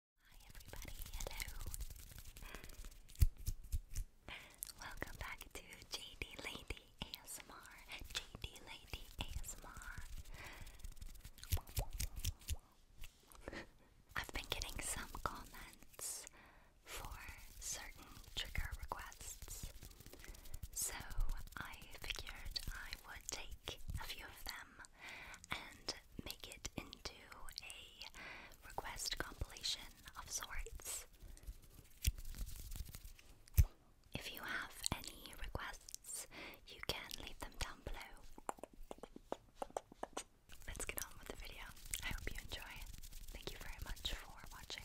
Hi everybody, hello. Welcome back to JD Lady ASMR. JD Lady ASMR. I've been getting some comments for certain trigger requests. So I figured I would take a few of them and make it into a request compilation of sorts. If you have any requests, you can leave them down below. Let's get on with the video. I hope you enjoy. Thank you very much for watching.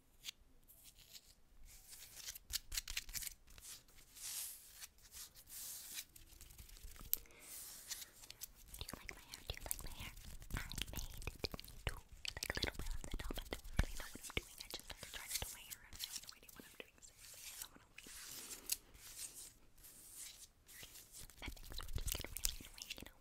Do you like my hair? Do you like my hair? I made it into like a little bit on the top. I don't really know what I'm doing. I just like trying to do my hair. I have no idea what I'm doing. Seriously, I don't want to wait. But things will just get really annoying, you know?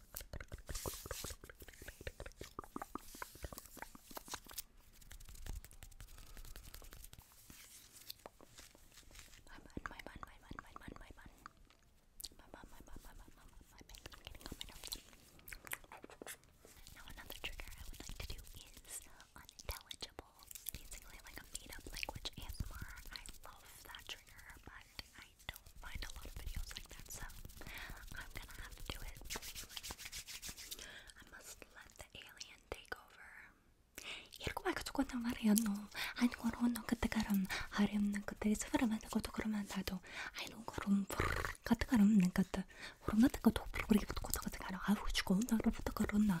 my bun, my bun, my bun, my bun, my bun, my bun, my bun, my bun, my bun, I'm getting on my nerves. Now another trigger I would like to do is unintelligible, basically like a made-up language ASMR. I love that trigger, but I I don't find a lot of videos like that, so I'm gonna have to do it. I must let the alien take over. 이렇게 말 가지고 나 말이야 너 아니 그런 너 그때 가름 하렴 나 그때 스프라만 그것도 그러면 나도 아니 너 그럼 같은 가름 나 그때 그럼 나 그것도 그렇게 붙고 저 같은 가름 아우 죽어 나 그렇게 그런 나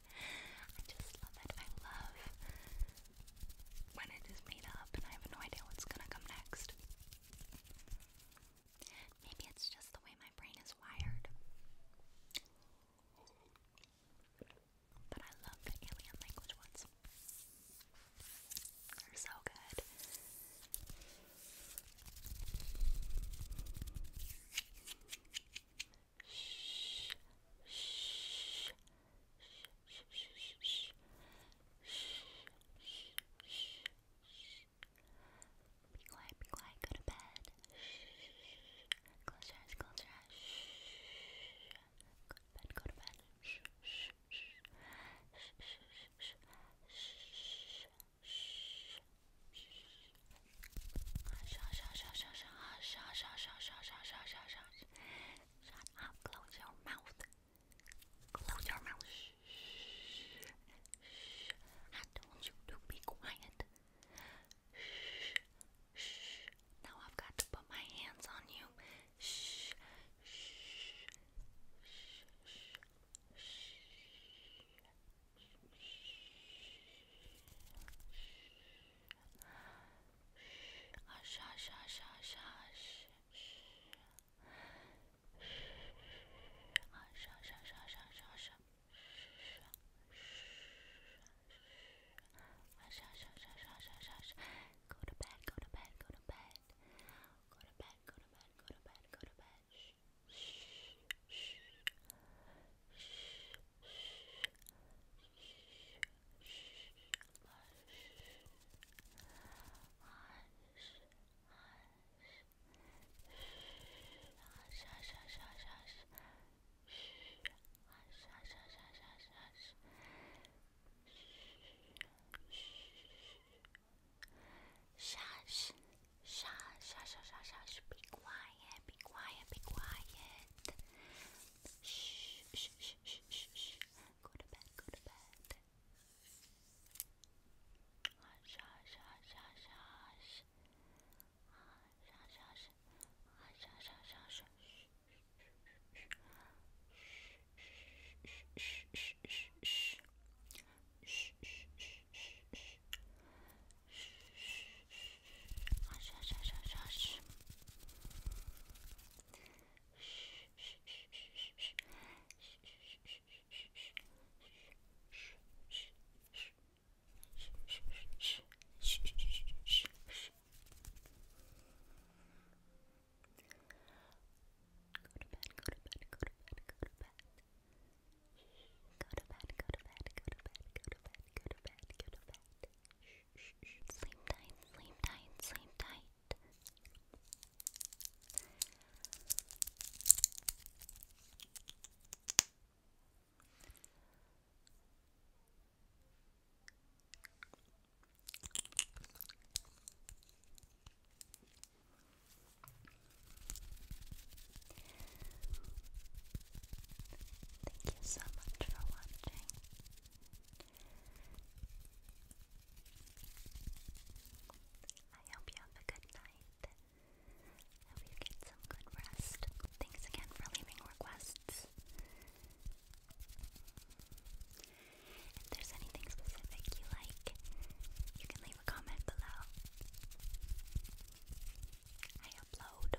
I just love it. I love when it is made up and I have no idea what's gonna come next. Maybe it's just the way my brain is wired. But I love alien language ones. They're so good shh, shh, shh, shh, shh, shh, shh, be quiet, be quiet, go to bed. Shh. Close your eyes, close your eyes. Shh. Go to bed, go to bed. Shh, shh, shh. Shh, shh, shh. Shh, shh, shh. Hush, hush, hush, hush, hush, hush, hush, hush, hush, hush, hush, hush, gosh. Shut up. Close your mouth. Close your mouth. Shh. Shh. Shh. I told you to be quiet. Shh. Shh. Now I've got to put my hands on you. Shh. Shh. Shh. Shh. Shh. Shh. Shh. Hush, hush, hush, hush, hush. Hush, hush, hush, hush, hush, hush. Hush, hush, hush, hush, hush, hush, hush. Go to bed, go to bed, go to bed. Go to bed, go to bed, go to bed, go to bed. Shh, shh, shh. Shh, Shush, shush, shush, shush, shush, be quiet, be quiet, be quiet. Shh, shh, shh, shh, shh, shh. Go to bed, go to bed. Hush, hush, hush, hush, hush. Hush, hush, hush. Hush, hush, hush, hush. Shh, shh, shh, shh, shh. Hush, hush, hush, hush, hush. Shh, shh, shh, shh, shh. Shh, shh, shh, shh, shh. Shh, shh, shh, shh, shh. Go to bed, go to bed, go to bed, go to bed. Go to bed, go to bed, go to bed, go to bed, go to bed, go to bed. Shh, shh, shh. Sleep tight, sleep tight, sleep tight. Thank you so much for watching. I hope you have a good night. hope you get some good rest. Thanks again for leaving requests. If there's anything specific you like, you can leave a comment below. I upload